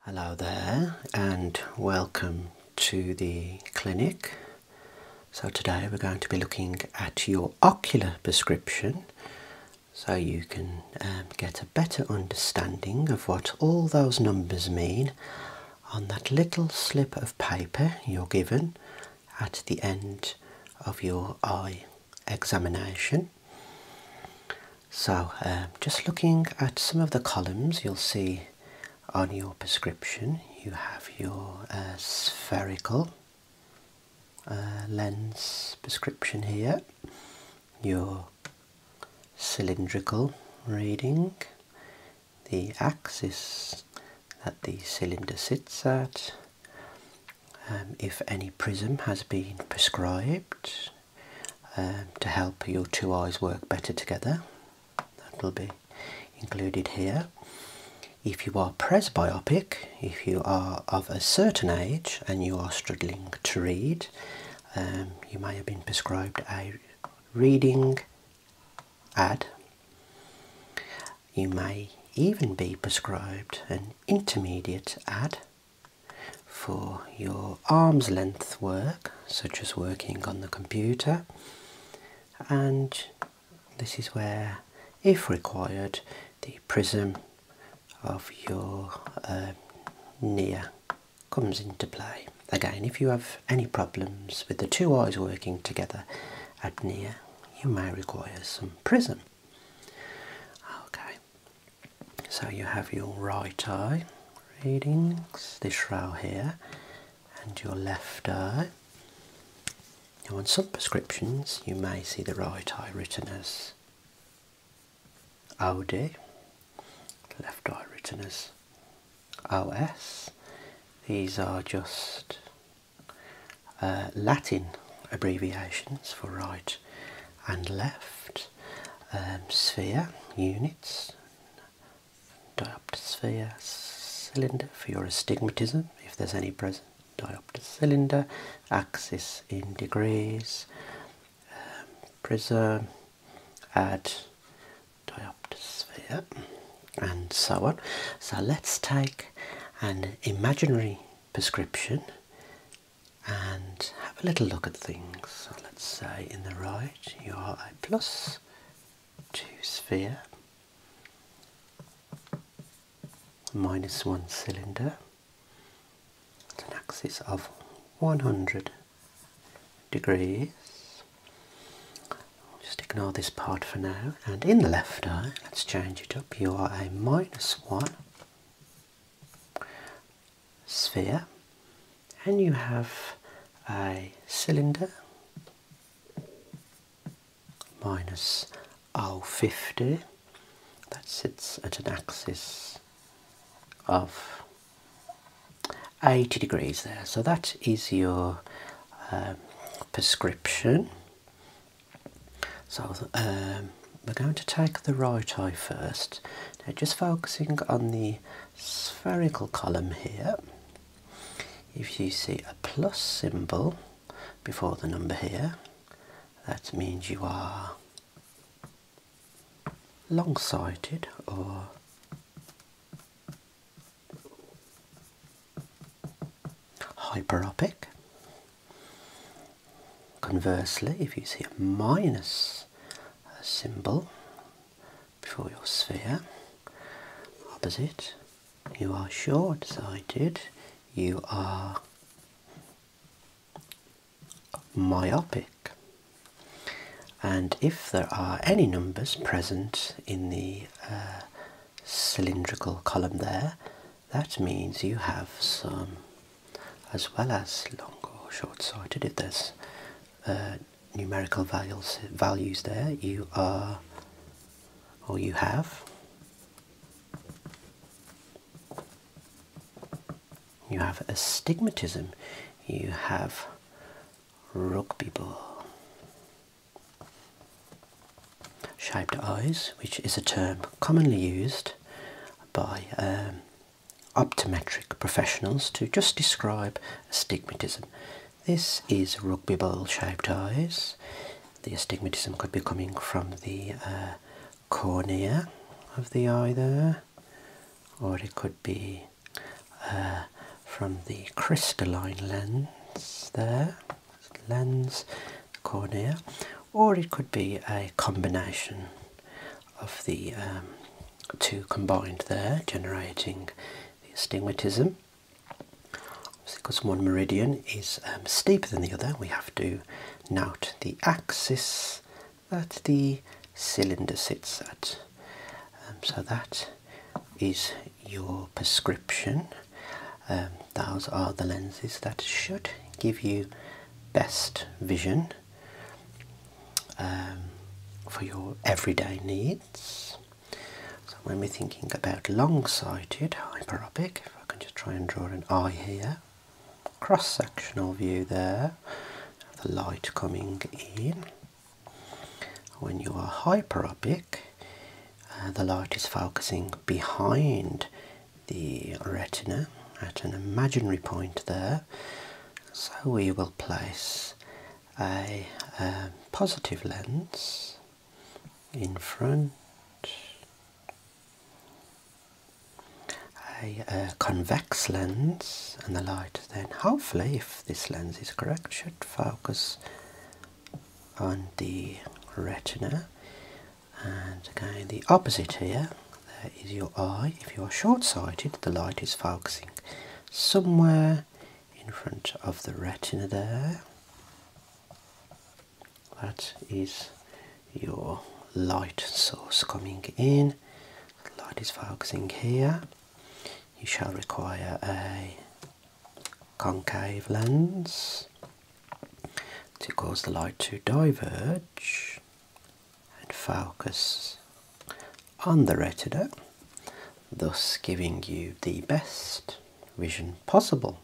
Hello there and welcome to the clinic. So today we're going to be looking at your ocular prescription so you can um, get a better understanding of what all those numbers mean on that little slip of paper you're given at the end of your eye examination. So, um, just looking at some of the columns, you'll see on your prescription you have your uh, spherical uh, lens prescription here, your cylindrical reading, the axis that the cylinder sits at. Um, if any prism has been prescribed, um, to help your two eyes work better together. That will be included here. If you are presbyopic, if you are of a certain age and you are struggling to read, um, you may have been prescribed a reading add. You may even be prescribed an intermediate add for your arm's length work, such as working on the computer, and this is where, if required, the prism of your uh, near comes into play. Again, if you have any problems with the two eyes working together at near, you may require some prism. Okay, so you have your right eye readings, this row here, and your left eye. Now on some prescriptions you may see the right eye written as OD, left eye written as OS. These are just uh, Latin abbreviations for right and left. Um, sphere, units, dioptosphere cylinder for your astigmatism if there's any present diopter cylinder axis in degrees um, prism add dioptosphere and so on so let's take an imaginary prescription and have a little look at things let's say in the right you are a plus 2 sphere, minus 1 cylinder, at an axis of 100 degrees. Just ignore this part for now and in the left eye, let's change it up, you are a minus 1 sphere and you have a cylinder minus minus O50 that sits at an axis of 80 degrees there. So that is your um, prescription. So um, we're going to take the right eye first. Now just focusing on the spherical column here, if you see a plus symbol before the number here, that means you are long sighted or hyperopic. Conversely, if you see a minus symbol before your sphere. Opposite, you are short-sighted, you are myopic. And if there are any numbers present in the uh, cylindrical column there, that means you have some, as well as long or short-sighted, if there's uh, numerical values values there you are or you have you have astigmatism you have rugby ball shaped eyes which is a term commonly used by um, optometric professionals to just describe astigmatism. This is rugby ball shaped eyes. The astigmatism could be coming from the uh, cornea of the eye there, or it could be uh, from the crystalline lens there, lens, cornea, or it could be a combination of the um, two combined there, generating the astigmatism. because one meridian is um, steeper than the other, we have to note the axis that the cylinder sits at. Um, so that is your prescription. Um, those are the lenses that should give you best vision for your everyday needs. So when we're thinking about long-sighted hyperopic, if I can just try and draw an eye here, cross-sectional view there, the light coming in. When you are hyperopic, uh, the light is focusing behind the retina at an imaginary point there. So we will place a, positive lens in front, a, convex lens, and the light then hopefully, if this lens is correct, should focus on the retina. And again, the opposite here, there is your eye. If you are short sighted, the light is focusing somewhere in front of the retina there. That is your light source coming in. The light is focusing here. You shall require a concave lens to cause the light to diverge and focus on the retina, thus giving you the best vision possible.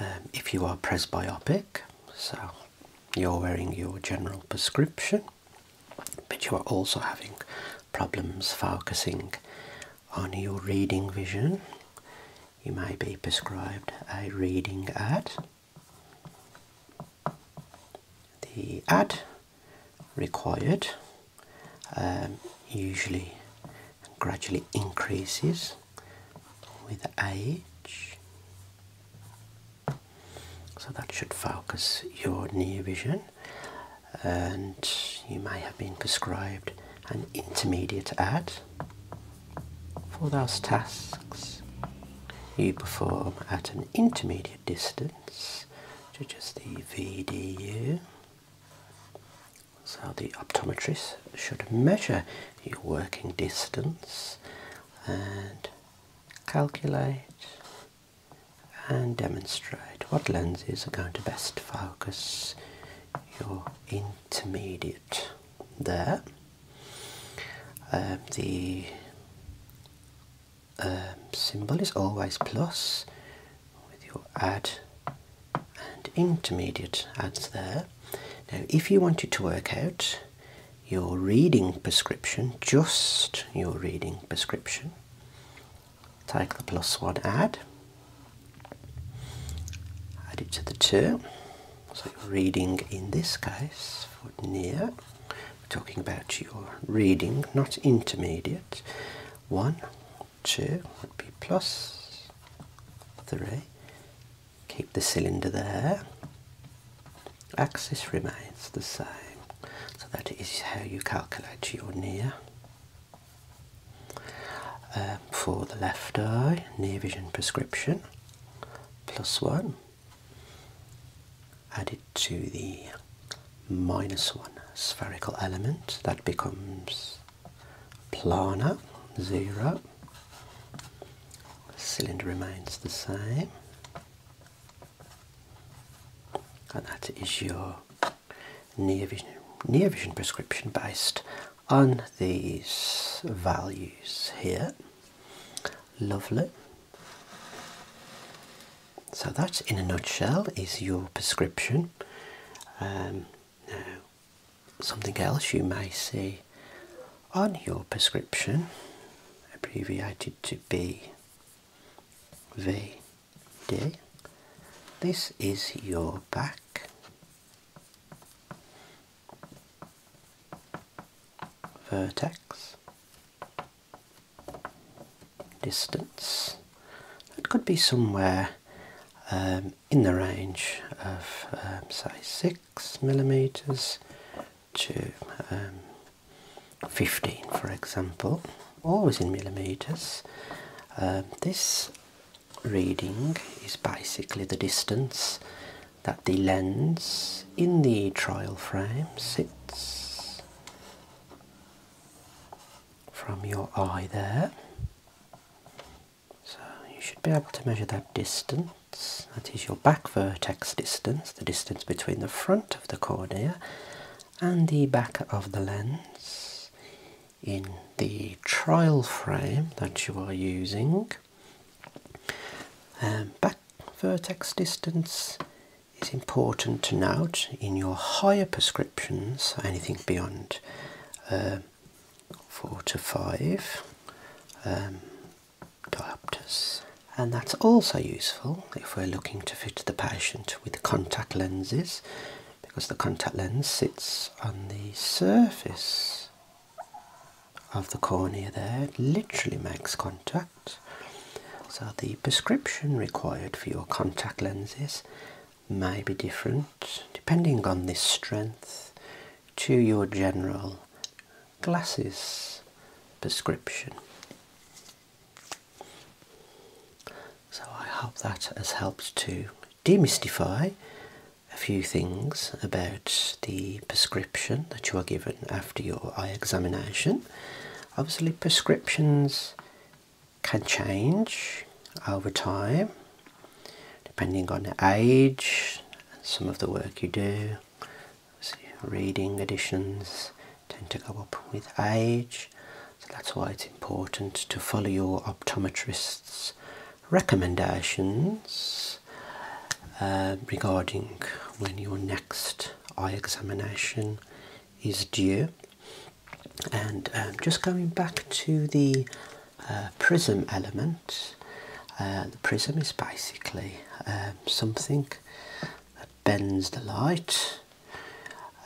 Um, if you are presbyopic, so you're wearing your general prescription, but you are also having problems focusing on your reading vision, you may be prescribed a reading ad. The ad required um, usually gradually increases with age. So that should focus your near vision, and you may have been prescribed an intermediate add for those tasks you perform at an intermediate distance, which is the VDU. So the optometrist should measure your working distance and calculate and demonstrate what lenses are going to best focus your intermediate there. Um, the um, symbol is always plus with your add and intermediate adds there. Now, if you wanted to work out your reading prescription, just your reading prescription, take the plus one add, add it to the two. So, your reading in this case for near talking about your reading, not intermediate. One, two would be plus, three. Keep the cylinder there. Axis remains the same. So that is how you calculate your near. Um, for the left eye, near vision prescription, plus one. Added to the minus 1 spherical element, that becomes planar 0. The cylinder remains the same. And that is your near vision, near vision prescription based on these values here. Lovely. So that, in a nutshell, is your prescription. Um, now, something else you may see on your prescription, abbreviated to be V D. this is your back vertex distance. It could be somewhere um, in the range of um, say six millimeters to um, 15 for example always in millimeters this reading is basically the distance that the lens in the trial frame sits from your eye there. So you should be able to measure that distance, that is your back vertex distance, the distance between the front of the cornea and the back of the lens in the trial frame that you are using. Um, back vertex distance it's important to note in your higher prescriptions, anything beyond um, four to five um, diopters, and that's also useful if we're looking to fit the patient with contact lenses because the contact lens sits on the surface of the cornea there, it literally makes contact. So the prescription required for your contact lenses may be different depending on this strength to your general glasses prescription. So I hope that has helped to demystify a few things about the prescription that you are given after your eye examination. Obviously prescriptions can change over time depending on age and some of the work you do. reading additions, tend to go up with age, so that's why it's important to follow your optometrist's recommendations uh, regarding when your next eye examination is due. And um, just going back to the uh, prism element, uh, the prism is basically um, something that bends the light,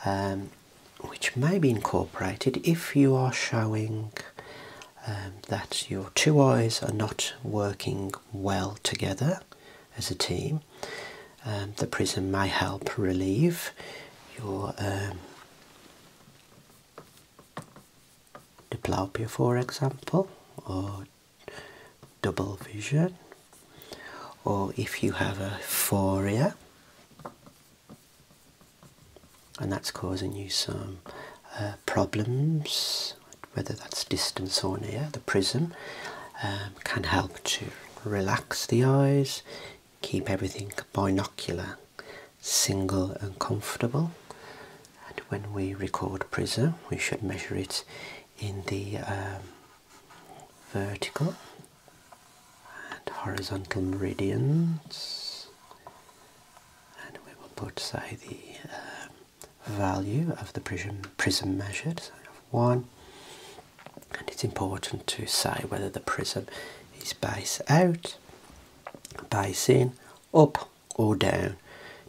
um, which may be incorporated if you are showing that your two eyes are not working well together as a team. Um, the prism may help relieve your um, diplopia, for example, or double vision, or if you have a phoria and that's causing you some uh, problems, whether that's distance or near, the prism um, can help to relax the eyes keep everything binocular, single, and comfortable. And when we record prism, we should measure it in the um, vertical and horizontal meridians, and we will put, say, the um, value of the prism prism measured. So we one, and it's important to say whether the prism is base out, base in, up or down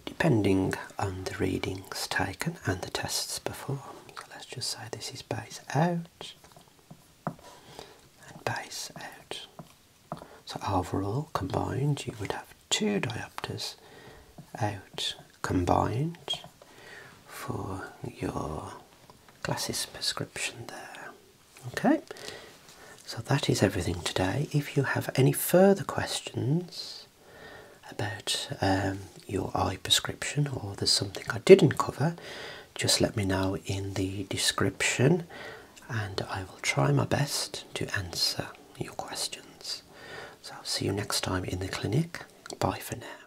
depending on the readings taken and the tests performed. Let's just say this is base out base out. So overall combined you would have two diopters out combined for your glasses prescription there. Okay, so that is everything today. If you have any further questions about um, your eye prescription or there's something I didn't cover, just let me know in the description and I will try my best to answer your questions. So I'll see you next time in the clinic. Bye for now.